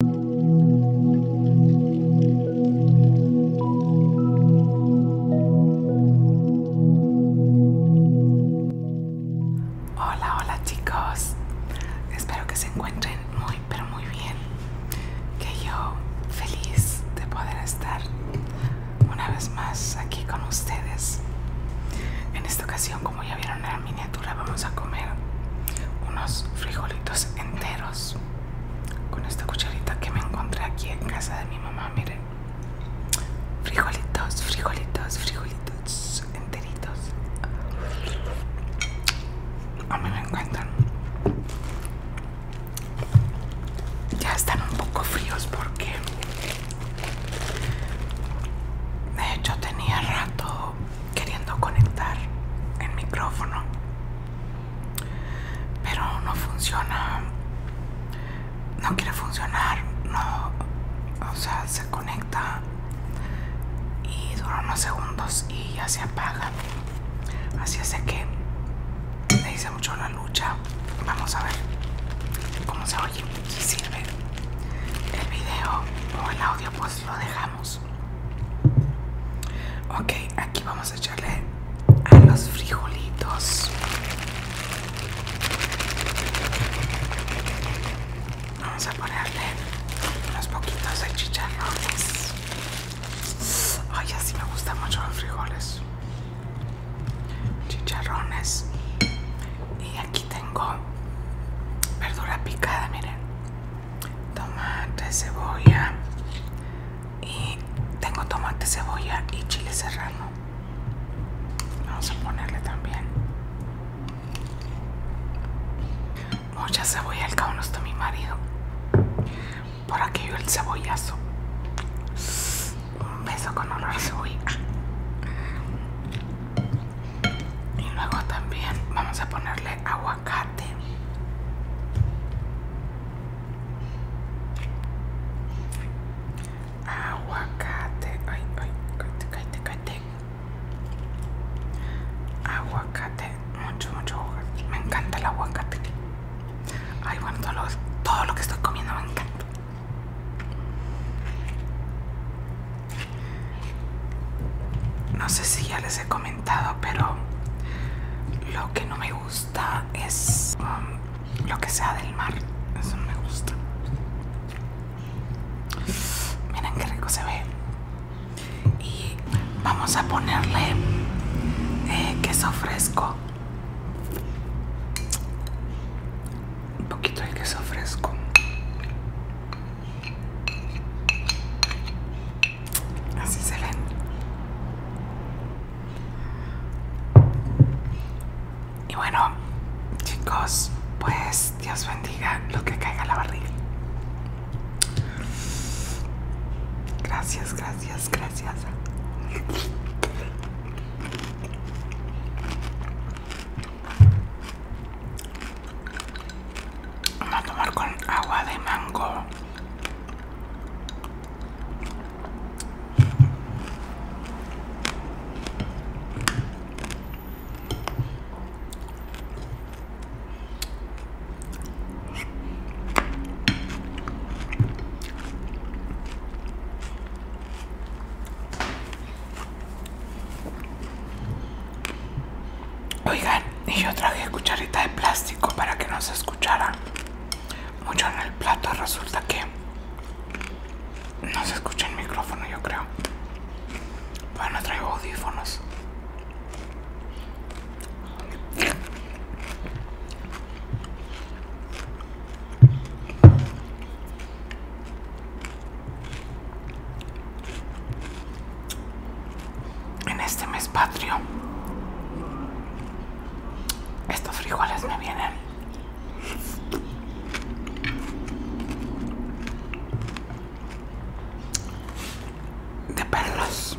Hola, hola chicos. Espero que se encuentren muy, pero muy bien. Que yo feliz de poder estar una vez más aquí con ustedes. En esta ocasión, como ya vieron miniatura vamos a comer unos frijolitos enteros con esta cucharita que me encontré aquí en casa de mi mamá, miren. Frijolitos, frijolitos, frijolitos enteritos. A mí me encantan. Ya están un poco fríos porque de hecho tenía rato queriendo conectar el micrófono pero no funciona no quiere funcionar no o sea se conecta y dura unos segundos y ya se apaga así es que me hice mucho la lucha vamos a ver cómo se oye si sirve el video o el audio pues lo dejamos Ok, aquí vamos a echarle a los frijolitos. Vamos a ponerle unos poquitos de chicharrones. Ay, así me gustan mucho los frijoles. Chicharrones. Y aquí tengo verdura picada, miren, tomate, cebolla y tengo tomate, cebolla y chile serrano. Vamos a ponerle también mucha cebolla, al cabo mi marido. Por aquello el cebollazo. Un beso con honor a y luego también vamos a ponerle aguacate aguacate ay ay cállate cállate cállate aguacate mucho mucho me encanta el aguacate ay bueno todo lo, todo lo que estoy comiendo me encanta no sé si ya les he comentado, pero lo que no me gusta es um, lo que sea del mar. Eso no me gusta. Miren qué rico se ve. Y vamos a ponerle eh, queso fresco un poquito el queso fresco así se ven y bueno chicos pues Dios bendiga lo que caiga la barriga gracias gracias gracias Vamos a tomar con agua de mango. Oigan, y yo traje cucharita de plástico para que no se escuchara mucho en el plato. Resulta que no se escucha el micrófono, yo creo. Bueno, traigo audífonos en este mes patrio estos frijoles me vienen de perlas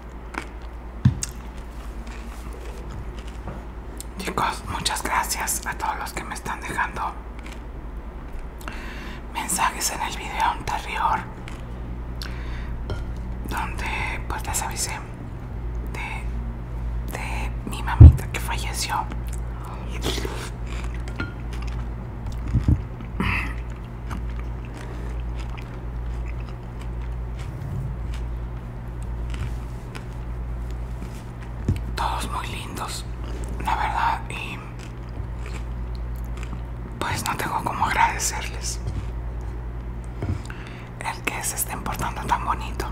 Chicos, muchas gracias a todos los que me están dejando mensajes en el video anterior donde pues les avisé de, de mi mamita que falleció todos muy lindos, la verdad, y pues no tengo cómo agradecerles el que se estén portando tan bonito.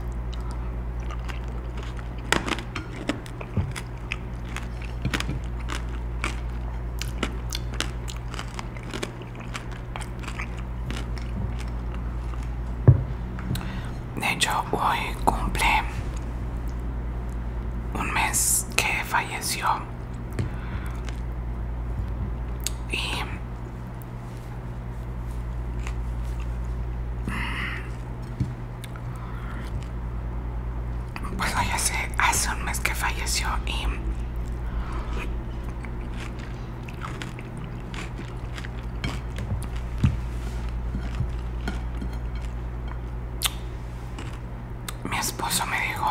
De hecho, hoy cumple un mes que falleció. Y pues sé. hace un mes que falleció y mi esposo me dijo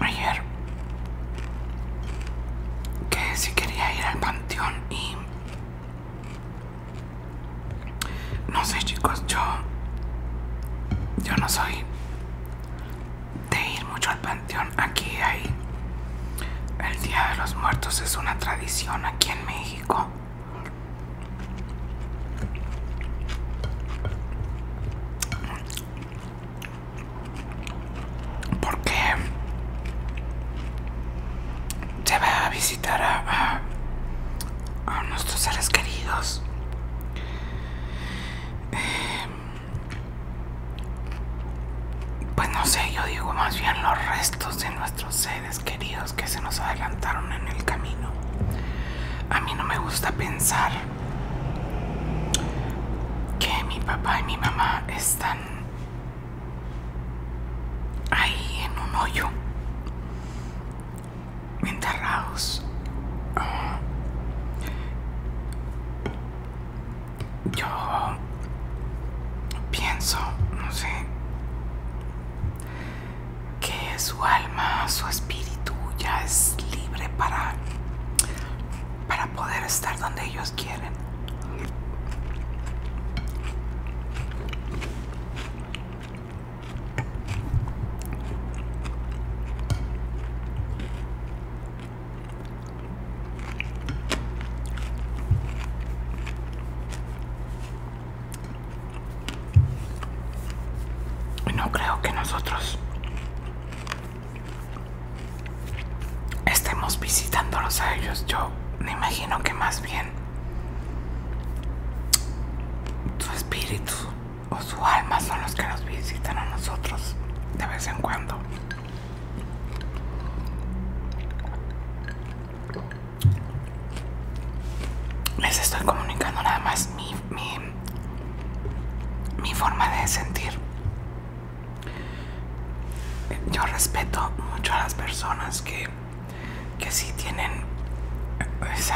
ayer que si quería ir al panteón y no sé chicos, yo, yo no soy de ir mucho al panteón. Aquí hay el Día de los Muertos, es una tradición aquí en México. Porque se va a visitar a, a nuestros seres queridos. Em, pues no sé, yo digo más bien los restos de nuestros seres queridos que se nos adelantaron en el camino. A mí no me gusta pensar que mi papá y mi mamá están ahí en un hoyo enterrados. yo pienso, no sé, que su alma, su espíritu ya es libre para, para poder estar donde ellos quieren. No creo que nosotros estemos visitándolos a ellos. Yo me imagino que más bien su espíritu o su alma son los que nos visitan a nosotros de vez en cuando. Les estoy comunicando nada más mi, mi, forma de sentir. Yo respeto mucho a las personas que que si tienen ese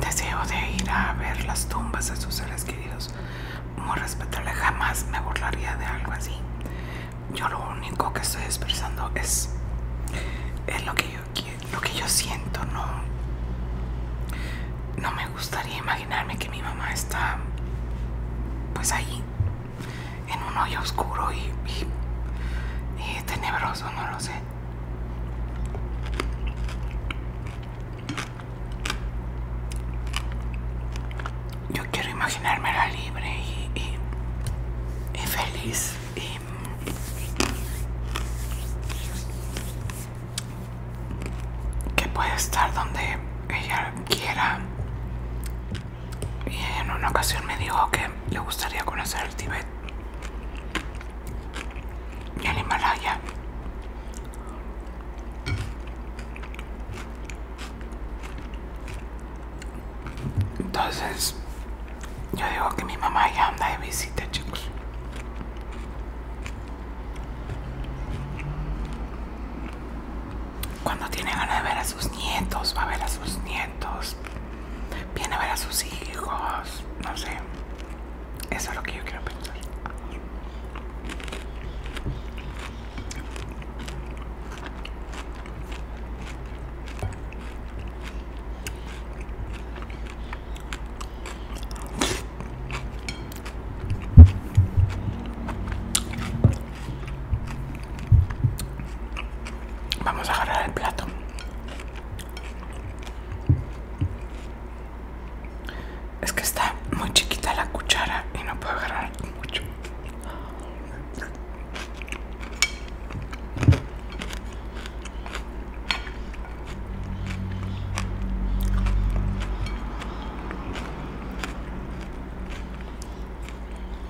deseo de ir a ver las tumbas de sus seres queridos, muy respetable, jamás me burlaría de algo así. Yo lo único que estoy expresando es, lo, que yo, lo que yo siento, no, no me gustaría imaginarme que mi mamá está pues ahí en un hoyo oscuro y, y, tenebroso, no lo sé. Yo quiero imaginármela libre y, y, feliz y que pueda estar donde ella quiera y en una ocasión me dijo que le gustaría conocer el Tíbet y el Himalaya. Entonces, yo digo que mi mamá ya anda de visita, chicos cuando tiene ganas de ver a sus nietos, va a ver a sus nietos, viene a ver a sus hijos, no sé. Eso es lo que yo quiero pensar. Vamos a agarrar el plato. Es que está muy chiquita la cuchara y no puedo agarrar mucho.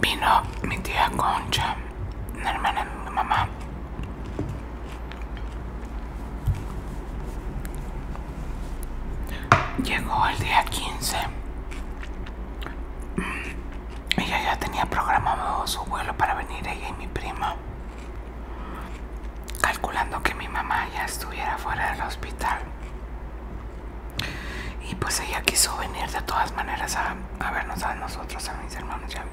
Vino mi tía Concha, una hermana de mi mamá. Llegó el día 15. Mm, ella ya tenía programado su vuelo para venir, ella y mi prima calculando que mi mamá ya estuviera fuera del hospital. Y pues ella quiso venir de todas maneras a, vernos a nosotros, a mis hermanos ya mí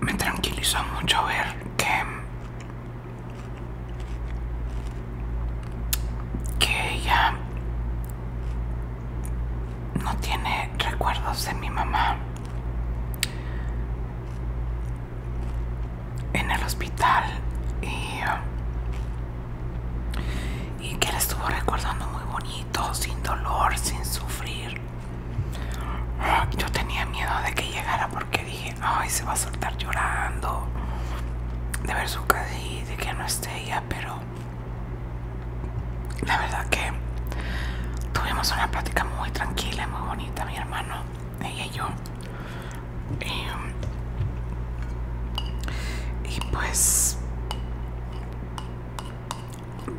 me tranquilizó mucho ver que, que ella no tiene recuerdos de mi mamá en el hospital y, y que la estuvo recordando muy bonito, sin dolor, sin sufrir yo tenía miedo de que llegara porque dije, ay, se va a soltar llorando de ver su casa y de que no esté ella, pero la verdad que tuvimos una plática muy tranquila, muy bonita, mi hermano, ella y yo. Em, y pues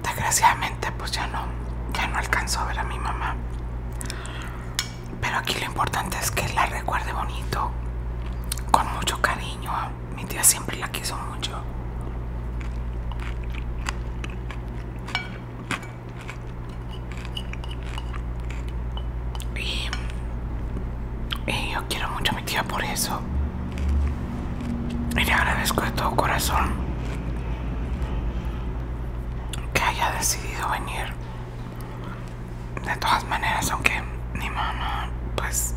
desgraciadamente pues ya no, ya no alcanzó a ver a mi mamá. Pero aquí lo importante es que la recuerde bonito, con mucho cariño. Mi tía siempre la quiso mucho. yo quiero mucho a mi tía por eso y le agradezco de todo corazón que haya decidido venir. De todas maneras, aunque mi mamá, pues,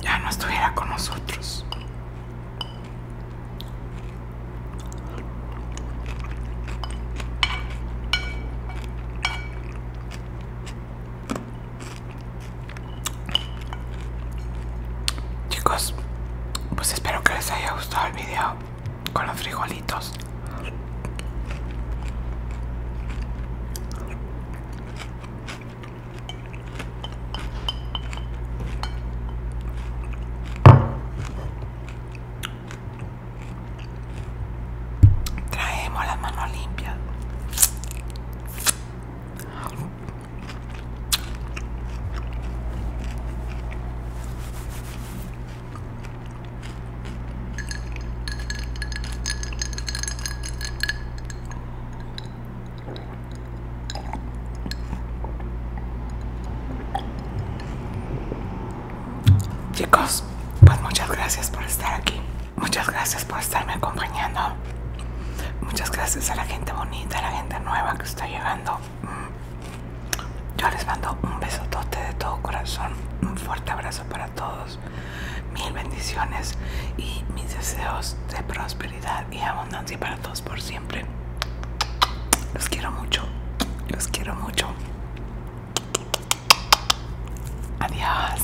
ya no estuviera con nosotros. Chicos, pues espero que les haya gustado el video con los frijolitos. Traemos las manos limpias. Chicos, pues muchas gracias por estar aquí. Muchas gracias por estarme acompañando. Muchas gracias a la gente bonita, a la gente nueva que está llegando. Mm. Yo les mando un besotote de todo corazón, un fuerte abrazo para todos, mil bendiciones y mis deseos de prosperidad y abundancia para todos por siempre. Los quiero mucho, los quiero mucho. Adiós.